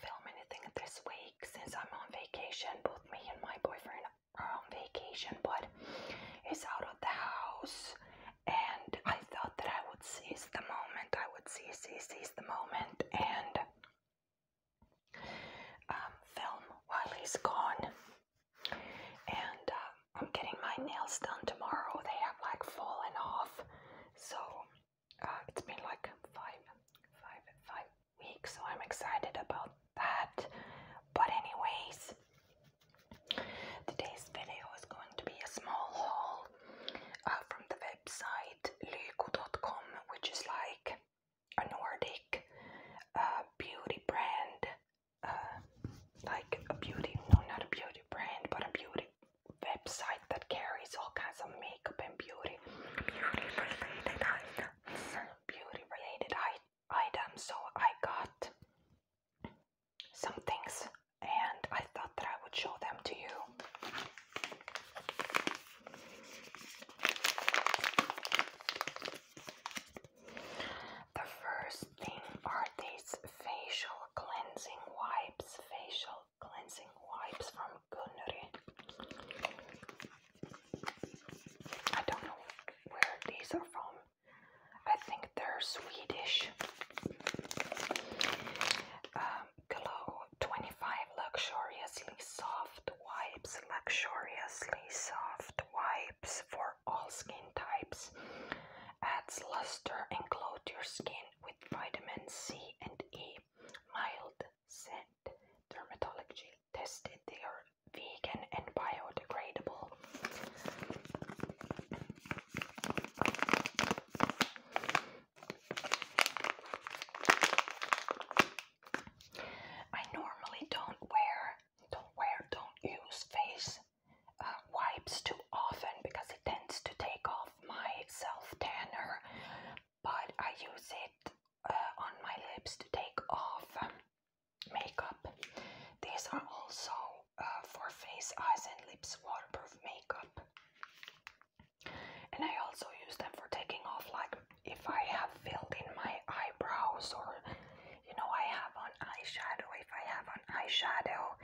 film anything this week since I'm on vacation. Both me and my boyfriend are on vacation, but he's out of the house. And I thought that I would seize the moment. I would seize, seize, seize the moment and um, film while he's gone. And um, I'm getting my nails done tomorrow. They have like fallen off, so uh, it's been like five, five, five week, so I'm excited about that. But, anyways, today's video is going to be a small haul uh, from the website lyko.com, which is like a Nordic uh, beauty brand. Uh, like a beauty, no, not a beauty brand, but a beauty website that carries all kinds of makeup and beauty beauty related items, so I got some things and I thought that I would show them to you. The first thing are these facial cleansing wipes, facial cleansing wipes from Connery. I don't know where these are from. I think they're Swedish. Um, glow 25 luxuriously soft wipes, luxuriously soft wipes for all skin types. Adds luster and glow your skin with vitamin C and E. Mild scent dermatology tested they are vegan and biodegradable. I normally don't wear, don't wear, don't use face uh, wipes too often because it tends to take off my self tanner but I use it uh, on my lips to take off um, makeup. These are also uh, for face, eyes, and lips waterproof makeup. And I also use them for taking off, like if I have filled in my eyebrows, or you know, I have on eyeshadow. If I have on eyeshadow,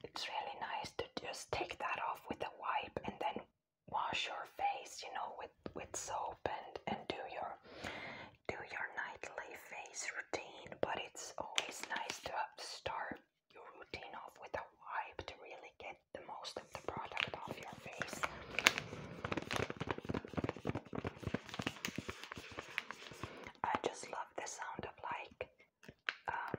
it's really nice to just take that off with a wipe and then wash your face, you know, with with soap and and do your do your nightly face routine. But it's always nice to start your routine off with a wipe to really get the most of the product off your face. I just love the sound of like um,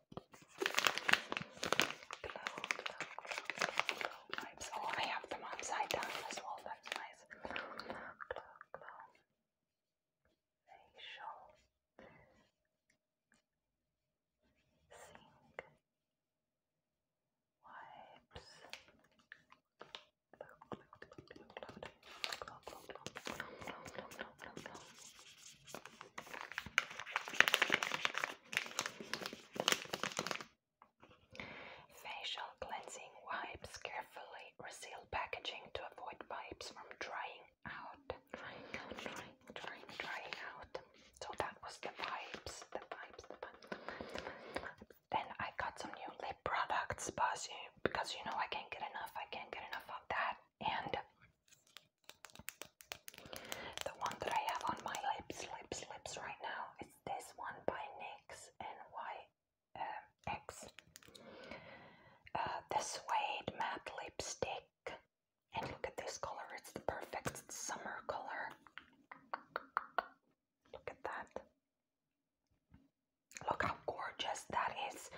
Blow, blow, Oh, I have them upside down as well. That's Glow, glow, Facial. Sink. Wipes. glow, glow, glow, glow, glow, glow, glow, glow, glow, glow, glow, glow, glow, glow Facial cleansing wipes carefully reseal packaging to avoid wipes from drying out. So that was the wipes, the wipes, Then I got some new lip products, because you know I can't get enough. I can't get enough of that. And the one that I have on my lips, lips, lips right now is this one by NYX, N-Y-X. Uh, the Suede Matte Lipstick. And look at this color, it's the perfect summer color. Look at that. Look how gorgeous that is.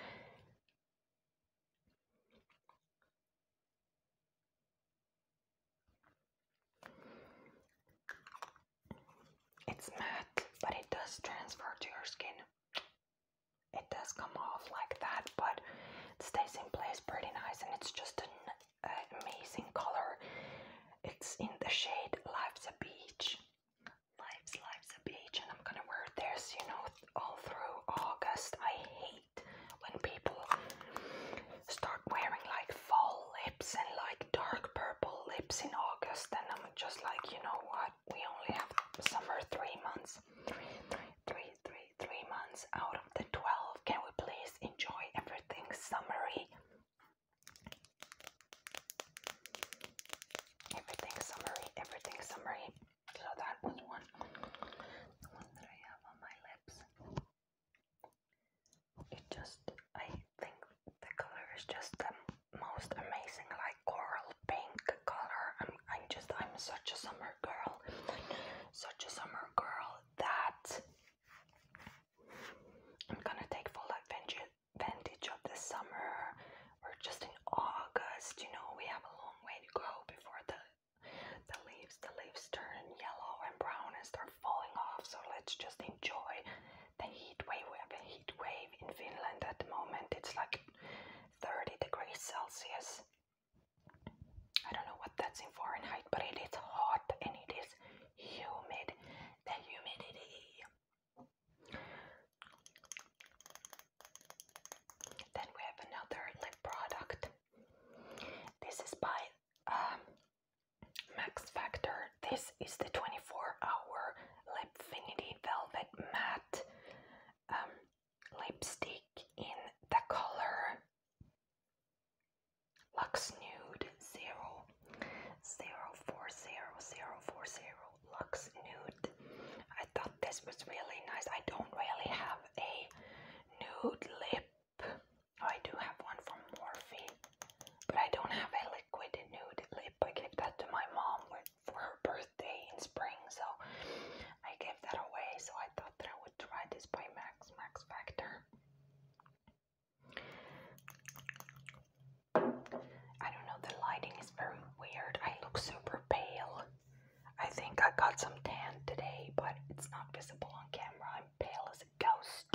It's matte, but it does transfer to your skin. It does come off like that, but it stays in place pretty nice, and it's just an amazing color. It's in the shade Lives a Beach. Lives lives a Beach, and I'm gonna wear this, you know, all through August. I hate when people start wearing like fall lips and like dark purple lips in August, and I'm just like, you know what? We only have summer three months, three, three, three, three, three months out of the twelve. Can we please enjoy everything summery? Everything summery, everything summery. So that was one, the one that I have on my lips. It just, I think the color is just the most amazing, like coral pink color. I'm, I'm just, I'm such a summer girl, such a summer girl that I'm gonna take full advantage of this summer. We're just in August, you know, we have a long way to go before the the leaves, the leaves turn yellow and brown and start falling off. So let's just enjoy the heat wave. We have a heat wave in Finland at the moment. It's like 30 degrees Celsius. I don't know what that's in Fahrenheit, but it is hot and it is humid. The humidity. Then we have another lip product. This is by um, Max Factor. This is the 24-hour Lipfinity Velvet Matte um, Lipstick in the color Lux Nude 0. Lux Nude I thought this was really nice. I don't really have a nude lip. Oh, I do have one from Morphe, but I don't have a liquid nude lip. I gave that to my mom for her birthday in spring, so I gave that away. So I thought that I would try this by Max Max Factor. I don't know, the lighting is very weird. I look super pale. I think I got some tan today, but it's not visible on camera. I'm pale as a ghost.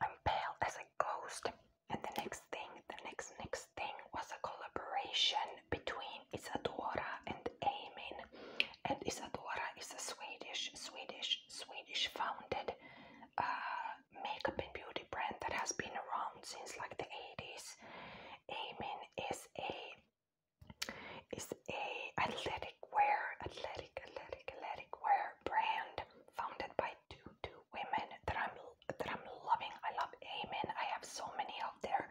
I'm pale as a ghost. And the next thing, the next next thing was a collaboration between Isadora and Amin. And Isadora is a Swedish, Swedish, Swedish founded uh, makeup and beauty brand that has been around since like the 80s. Amin is is a is a athletic wear, athletic, athletic, athletic wear brand founded by two two women that I'm that I'm loving. I love Amen. I have so many of their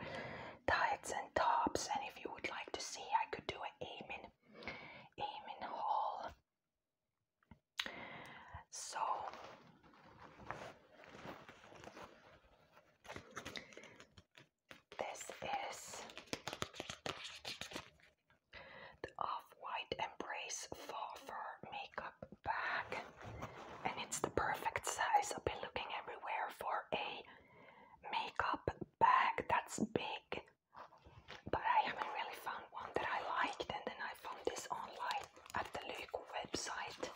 tights and tops, and if you would like to see, I could do an Amen Amen haul. So this is the Off-White Embrace Far Fur Makeup Bag, and it's the perfect size. I've been looking everywhere for a makeup bag that's big, but I haven't really found one that I liked, and then I found this online at the Luke website.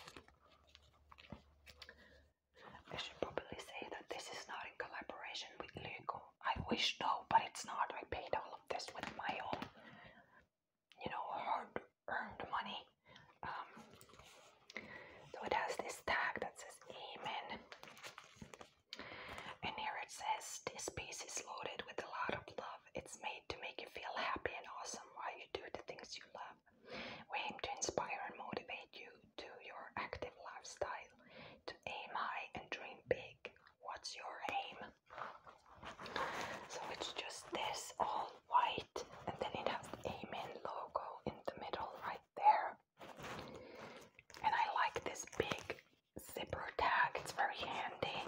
I should probably say that this is not in collaboration with Lyco. I wish though, but it's not. I paid all of this with my own, you know, hard earned money. Um, so it has this tag that says Amen. And here it says, This piece is loaded with a lot of love. It's made to make you feel happy and awesome while you do the things you love. We aim to inspire and motivate you to your active lifestyle, to aim high and dream big. What's your aim? So it's just this all white, and then it has the Amen logo in the middle right there. And I like this big zipper tag, it's very handy.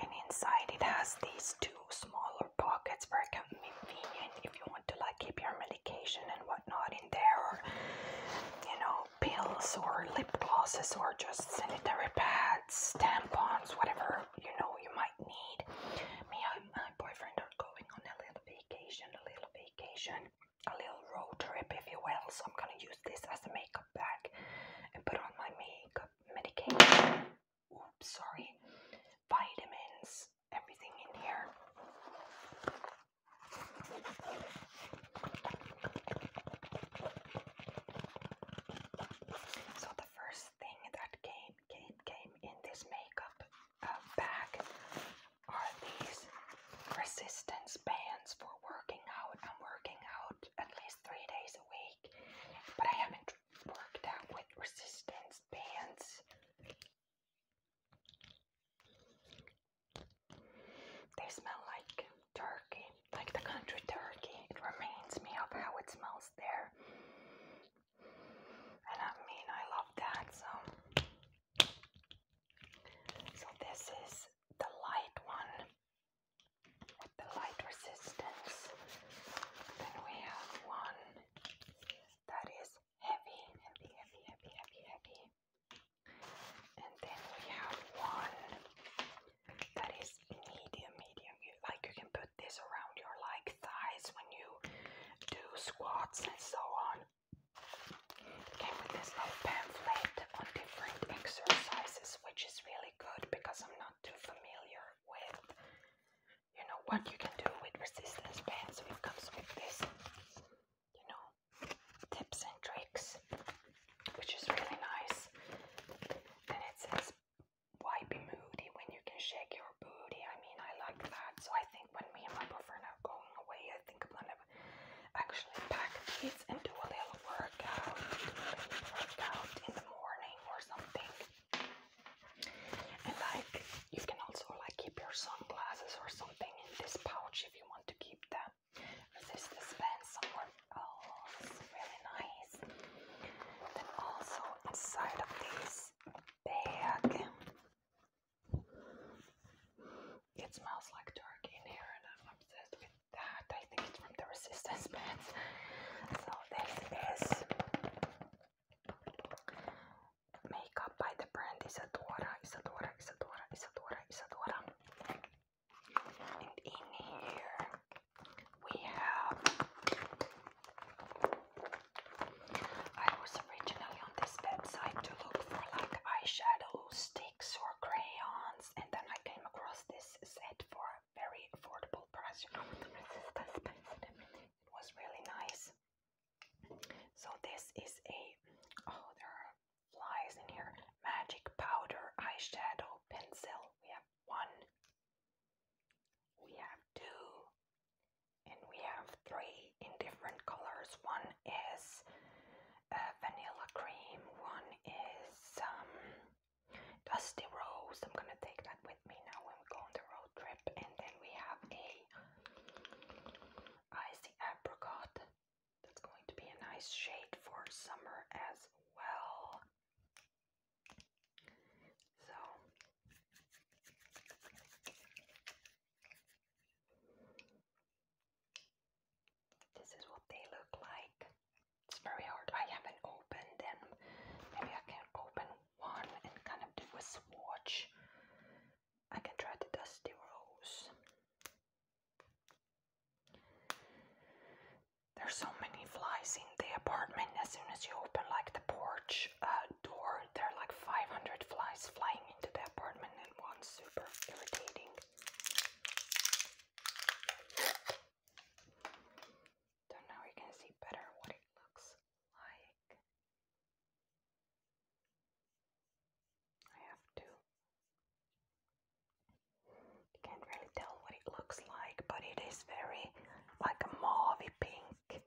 And inside it has these two smaller pockets very convenient if you want to like keep your medication and whatnot in there or you know pills or lip glosses or just sanitary pads tampons whatever you know you might need me and my boyfriend are going on a little vacation a little vacation a little road trip if you will so i'm gonna use this as a makeup bag and put on my makeup medication oops, sorry, vitamins, everything in here. So the first thing that came came came in this makeup uh, bag are these resistance bands for working out. I'm working out at least three days a week but I haven't worked out with resistance bands. They smell like turkey, like the country turkey. It reminds me of how it smells there. And I mean, I love that. So, so this is the light one the light resistance. Then we have one that is heavy, heavy, heavy, heavy, heavy, heavy. And then we have one that is medium, medium. You, like you can put this around your like thighs when you do squats and so on. It came with this little pamphlet on different exercises, which is really good because I'm not too familiar with you know what you can do with resistance bands so it comes with this you know tips and tricks which is really nice and it says why be moody when you can shake your booty I mean I like that so I think when me and my boyfriend are going away I think I'm gonna actually pack these and do a little workout do a little workout in the morning or something and like you can also like keep your sunglasses or something in this pouch if you want to keep them. This dispense somewhere else. Really nice. Then also inside of this bag. It smells like turkey in here and I'm obsessed with that. I think it's from the resistance bands. So this is Makeup by the brand Isadora, Isadora, Isadora, Isadora, Isadora. And in here we have. I was originally on this website to look for like eyeshadow sticks or crayons, and then I came across this set for very affordable price, you know, with the resistance bands and everything. It was really nice. So this is a, oh, there are flies in here. Magic powder eyeshadow pencil. We have one, we have two, and we have three in different colors. One is uh, vanilla cream, one is um, Dusty Rose. I'm gonna take that with me now when we go on the road trip. And then we have a icy apricot. That's going to be a nice shade for summer as well. So this is what they look like. It's very hard. I haven't opened them. Maybe I can open one and kind of do a swatch. I can try the dusty rose. There's so many flies in the apartment. As soon as you open like the porch uh, door, there are like 500 flies flying into the apartment and one Super irritating. Don't you can see better what it looks like I have to. Can't really tell what it looks like, but it is very like a mauvey pink,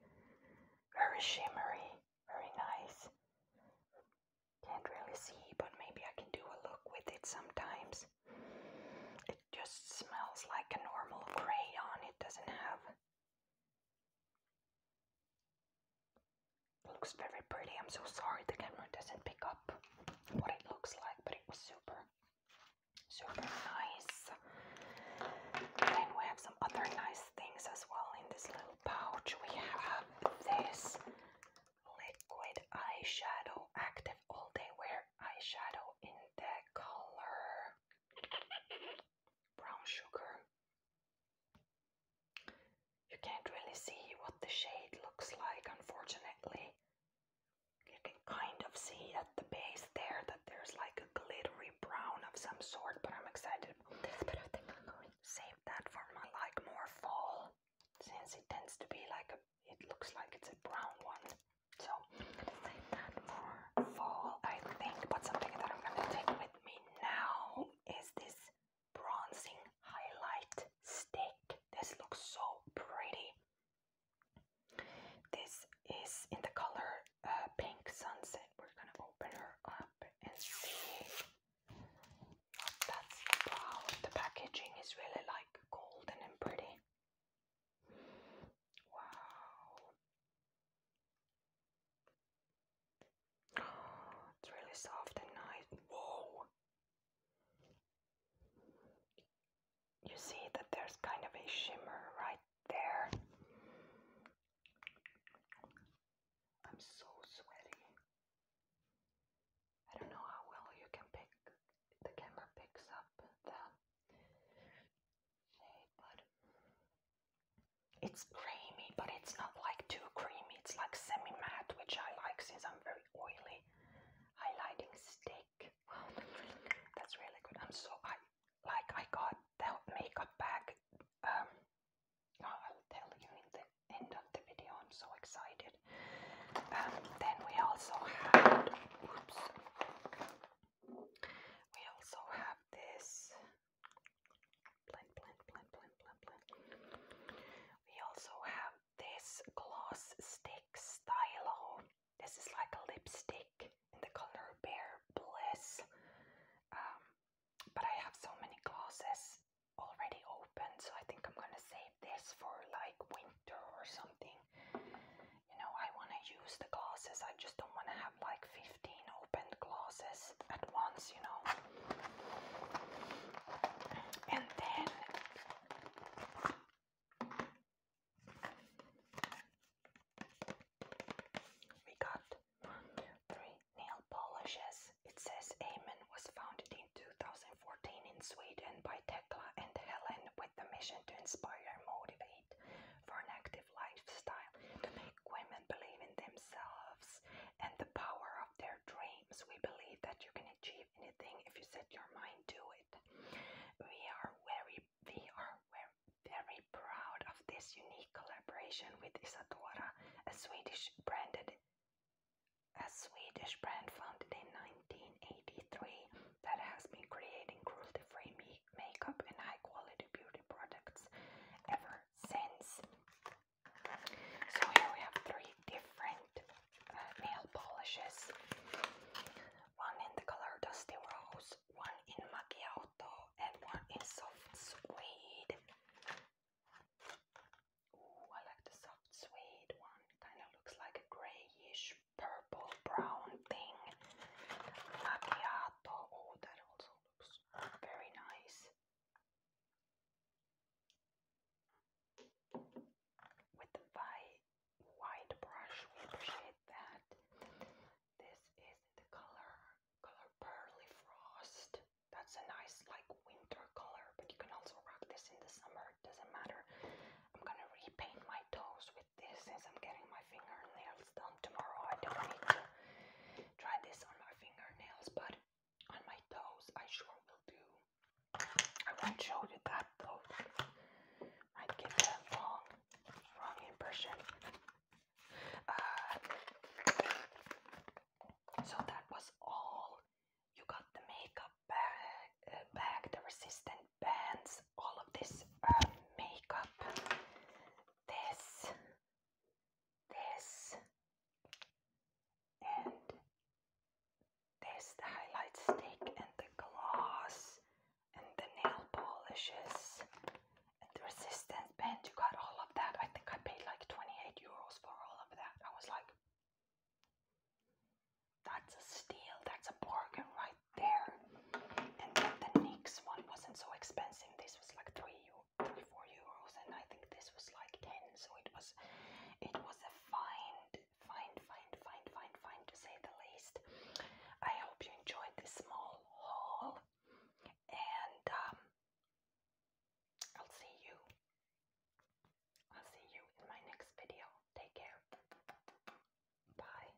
very shimmery, very nice. Can't really see, but maybe I can do a look with it sometimes. It just smells like a normal crayon, it doesn't have Looks very pretty. I'm so sorry the camera doesn't pick up what it looks like, but it was super, super nice. Then we have some other nice things as well in this little pouch. We have this liquid eyeshadow active all day wear eyeshadow in the color brown sugar. You can't really see what the shade looks like, unfortunately. You can kind of see at the base there that there's like a glittery brown of some sort, but I'm excited this. But I think I'm going to save that for my like more fall, since it tends to be like a. It looks like it's a brown one. So I'm gonna take that for fall, I think. But something that I'm gonna take with me now is this bronzing highlight stick. This looks so pretty. This is in the color uh, pink sunset. We're gonna open her up and see what The packaging is really like golden and pretty. Wow. It's really soft and nice. Whoa. You see that there's kind of a shimmer right there. I'm so sweaty. I don't know how well you can pick the camera picks up the it's creamy, but it's not like too creamy. It's like semi-matte, which I like since I'm very oily. Highlighting stick. Wow, that's really good. I'm so I like I got that makeup bag. Um, I'll tell you in the end of the video. I'm so excited. Um, then we also had. We also have this We also have this gloss stick stylo. This is like a lipstick in the color Bare Bliss. Um, but I have so many glosses already open, so I think I'm gonna save this for like winter or something you know, I want to use the glasses. I just don't want to have like 15 opened glasses at once, you know. And then we got one, two, three nail polishes. It says Amen was founded in 2014 in Sweden by Tekla and Helen with the mission to inspire motivate for an active lifestyle to make women believe in themselves and the power of their dreams. We believe that you can achieve anything if you set your mind to it. We are very we are very proud of this unique collaboration with Isadora, a Swedish branded a Swedish brand founded in 1983 that has been creating cruelty-free meat makeup and high quality beauty products ever since. So here we have three different uh, nail polishes. One in the color Dusty Rose, one in Macchiato and one in Soft Suede. Ooh, I like the soft suede one. Kind of looks like a grayish purple brown thing. Macchiato. Oh, that also looks very nice. With the white brush, we appreciate that. This is the color color Pearly Frost. That's a nice like winter color, but you can also rock this in the summer. It doesn't matter. I'm gonna repaint my toes with this since I'm getting my fingernails done tomorrow. I don't need to try this on my fingernails, but on my toes, I sure will do. I won't show you that though. Might get that wrong, wrong impression. Uh, so that was all. You got the makeup bag, uh, bag the resistant bands, all of this uh, makeup this, this, and this the highlight stick, and the gloss, and the nail polishes, and the resistance band. You got all of that. I think I paid like 28 euros for all of that. I was like, that's a steal, that's a bargain right there. And then the NYX one wasn't so expensive. This was like three, three, four euros, and I think this was like ten. So it was, it was a find, find, find, find, find, find to say the least. I hope you enjoyed this small haul, and um, I'll see you. I'll see you in my next video. Take care. Bye.